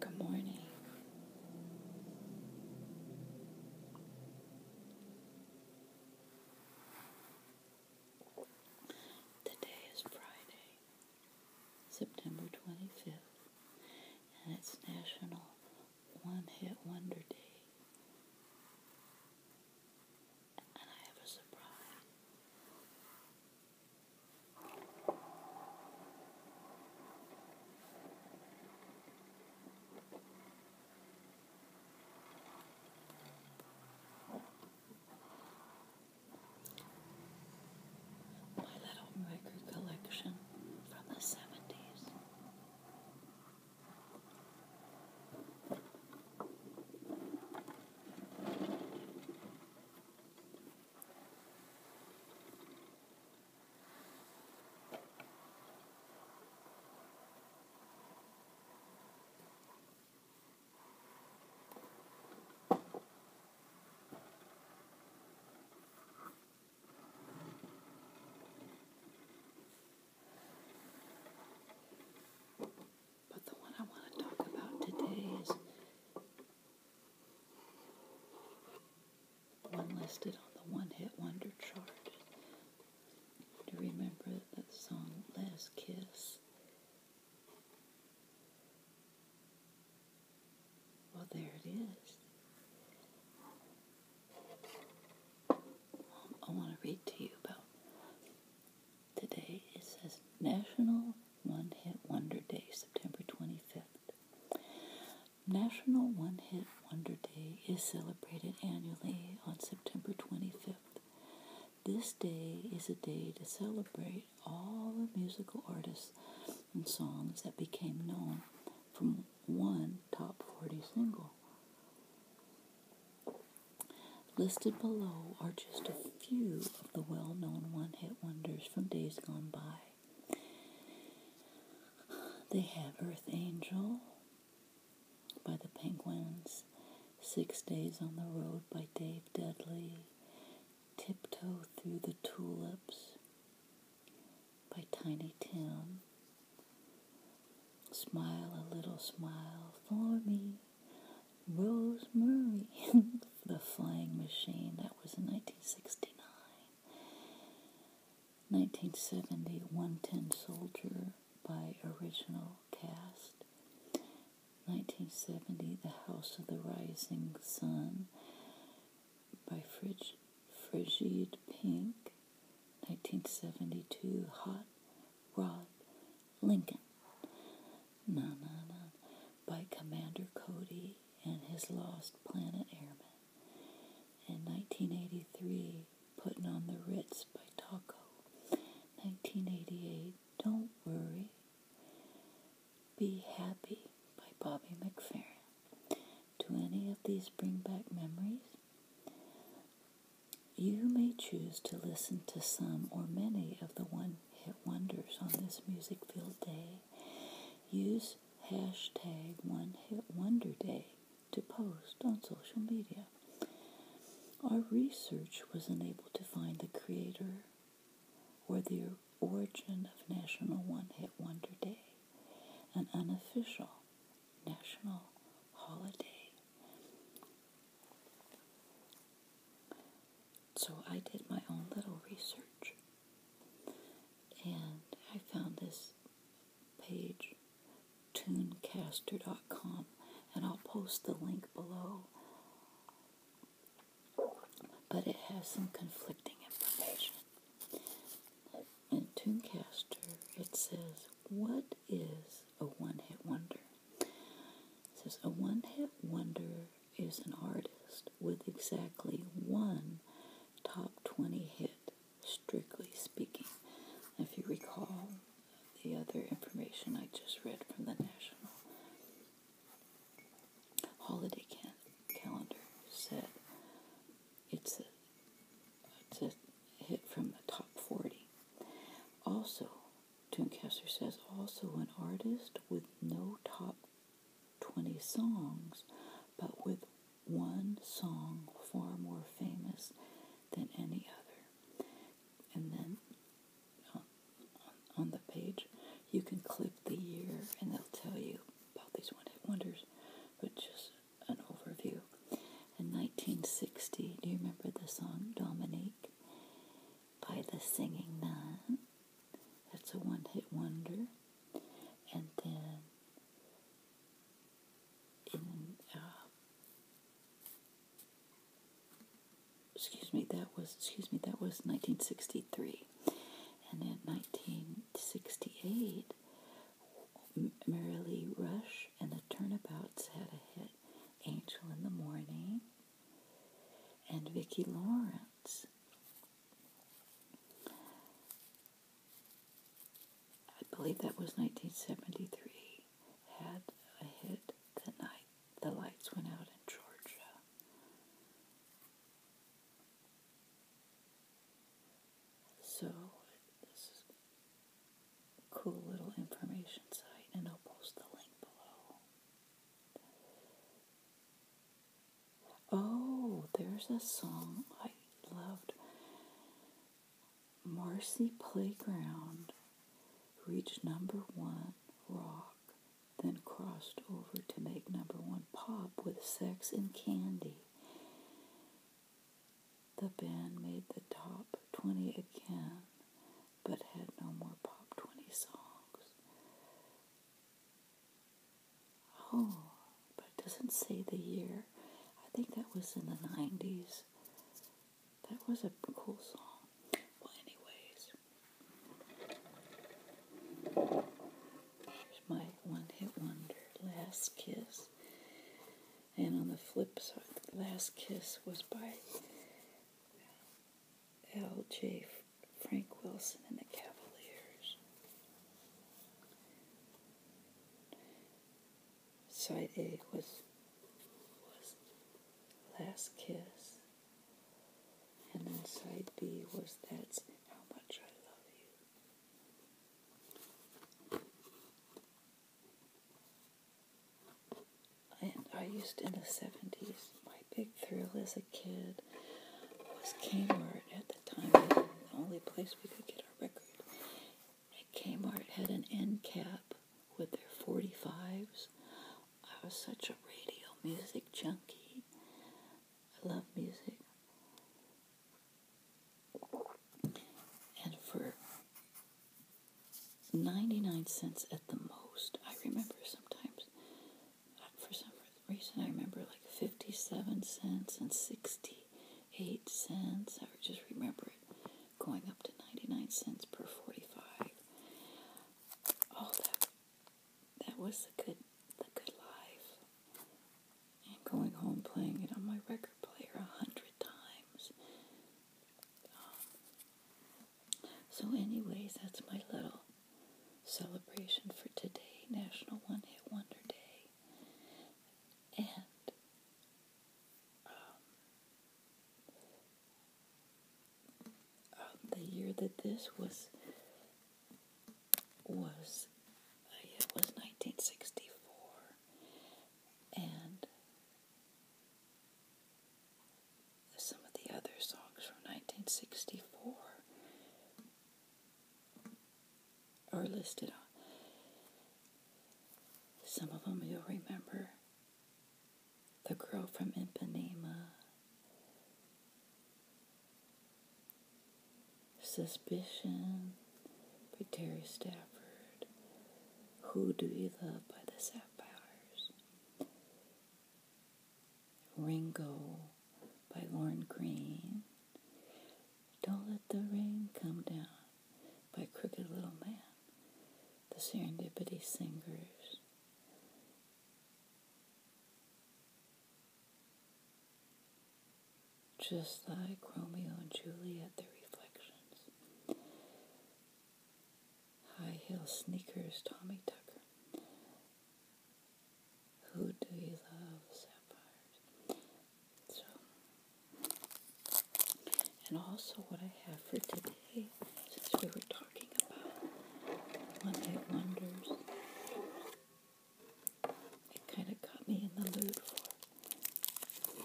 Good morning. Today is Friday, September 25th, and it's National One Hit Wonder Day. And I have a surprise. My little record collection from the 70s. But the one I want to talk about today is one listed on the One Hit Wonder chart. Do you remember that song Last Kiss? Well, there it is. I want to read to you about Today it says National One Hit Wonder Day, September 25th. National One Hit Wonder Day is celebrated annually on September 25th. This day is a day to celebrate all the musical artists and songs that became known from one top 40 single. Listed below are just a few of the well known one hit wonders from days gone by. They have Earth Angel by the Penguins, Six Days on the Road by Dave Dudley, Tiptoe Through the Tulips by Tiny Tim, Smile a Little Smile for Me Rosemary the Flying Machine. That was in 1969. 1970, 110 Soldier by original cast. 1970, The House of the Rising Sun by Frig- Frigid Pink. 1972, Hot Rod Lincoln. Na na na. By Commander Cody and his lost planet airmen. In 1983, Putting on the Ritz by Taco. 1988, Don't Worry. Be Happy by Bobby McFerrin. Do any of these bring back memories? You may choose to listen to some or many of the 1 hit wonders on this Music Field Day, use hashtag One Hit Wonder Day to post on social media. Our research was unable to find the creator or the origin of National One Hit Wonder Day, an unofficial national holiday. So I did my own little research and I found this page, tunecaster.com, and I'll post the link below. But it has some conflicting information. In Tunecaster, it says, What is a one hit wonder? It says a one hit wonder is an artist with exactly one top 20 hit, strictly speaking. If you recall the other information I just read from the National Holiday Calendar, said it's a, it's a hit from the top 40. Also, Tuncaster says also an artist with no top 20 songs, but with one song far more famous than any other. And then uh, on, on the page, you can click the year and they'll tell you about these one hit wonders, but just an overview. In 1960, do you remember the song Dominique? by the singing nun. That's a one hit wonder. And then uh, excuse me, that was, excuse me, that was 1963. And in 1968, Mary Lee Rush and the Turnabouts had a hit, Angel in the Morning and Vicki Lawrence. I believe that was 1973. Had a hit the night the lights went out in Georgia. So this is a cool little information site, and I'll post the link below. Oh, there's a song I loved. Marcy Playground reached number one rock, then crossed over to make number one pop with Sex and Candy. The band made the top 20 again but had no more Pop 20 songs. Oh, but it doesn't say the year. I think that was in the 90s. That was a cool song. Well, anyways, my one hit wonder, Last Kiss. And on the flip side, Last Kiss was by L.J. Frank Wilson and the Cavaliers. Side A was, was Last Kiss, and then side B was That's How Much I Love You and I used in the 70s. My big thrill as a kid was Kmart. At the time, was the only place we could get our record. And Kmart had an end cap with their 45s. I was such a radio music junkie. I love music. And for 99 cents at the most. I remember sometimes, uh, for some reason, I remember like 57 cents and 68 cents. I just remember it going up to 99 cents per 45. Oh, that, that was the good, the good life. And going home playing it on my record player a hundred times um, so, anyways, that's my little celebration for today, National One Hit Wonder Day. And um, um, the year that this was was uh, it was 1964, and some of the other songs from 1964 are listed on. Some of them you'll remember. The Girl from Ipanema. Suspicion by Terry Stafford. Who Do you Love by the Sapphires, Ringo by Lauren Green, Don't Let the Rain Come Down by Crooked Little Man, The Serendipity Singers. Just like Romeo and Juliet, the reflections. High heel sneakers, Tommy Tucker. Who do you love? Sapphires. So, and also what I have for today, since we were talking about one day wonders, it kind of got me in the mood for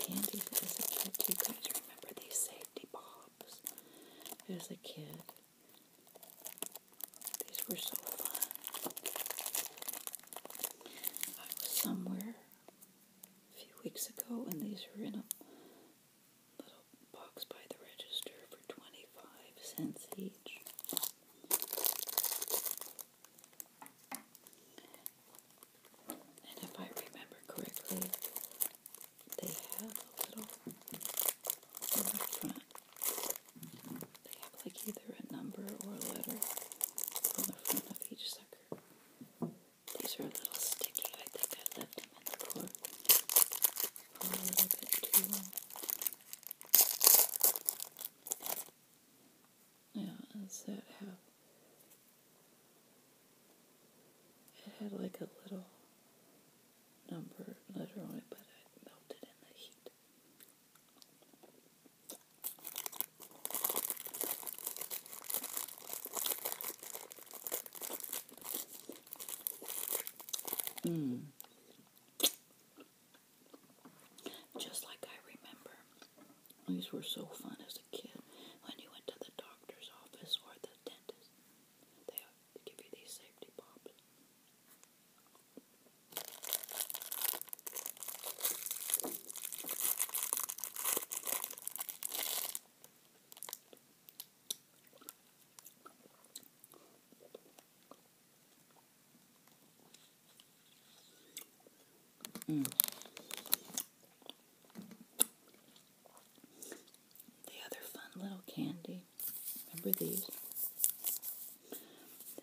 Candy as a kid. you guys remember these safety pops? As a kid, these were so fun. I was somewhere a few weeks ago, and these were in a little box by the register for 25 cents each. And if I remember correctly, they have a little on the front. They have like either a number or a letter on the front of each sucker. These are a little sticky. I think I left them in the drawer a little bit too long. Yeah, does that have? It had like a little number letter but it melted in the heat. Mmm. Just like I remember. These were so fun as a kid when you went to the doctor's office or the dentist. They give you these safety pops. Mm. The other fun little candy, remember these?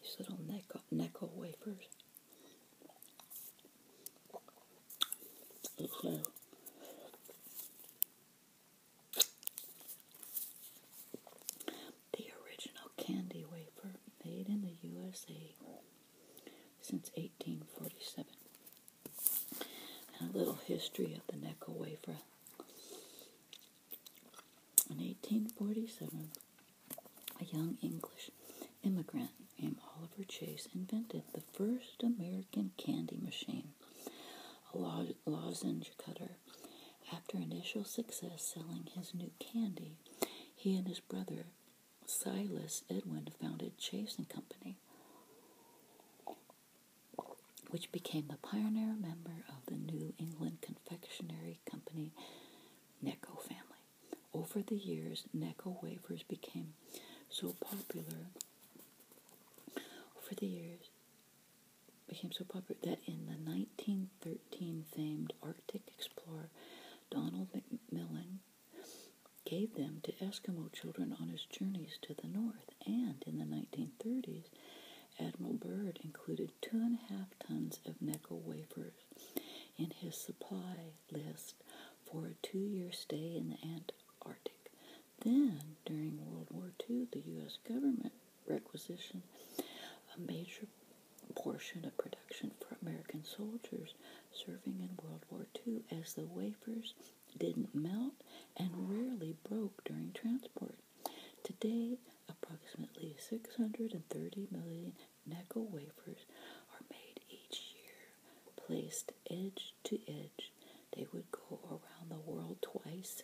These little necko Necco wafers. Okay the original candy wafer made in the USA since 1847. a little history of the necko wafer. In 1847, a young English immigrant named Oliver Chase invented the first American candy machine, a lozenge cutter after initial success selling his new candy, he and his brother Silas Edwin founded Chase and Company, which became the pioneer member of the New England confectionery company Necco family. Over the years, Necco wafers became so popular over the years became so popular that in the 1913 famed Arctic explorer Donald McMillan gave them to Eskimo children on his journeys to the north. And in the 1930s, Admiral Byrd included two and a half tons of Neckel wafers in his supply list for a two year stay in the Antarctic. Then, during World War II, the U.S. government requisition. A major portion of production for American soldiers serving in World War II, as the wafers didn't melt and rarely broke during transport. Today, approximately 630 million nickel wafers are made each year, placed edge to edge. They would go around the world twice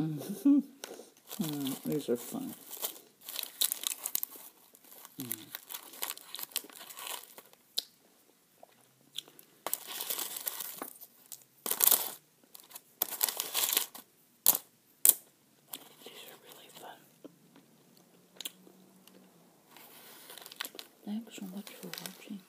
Mm -hmm. these are fun. These are really fun. Thanks so much for watching.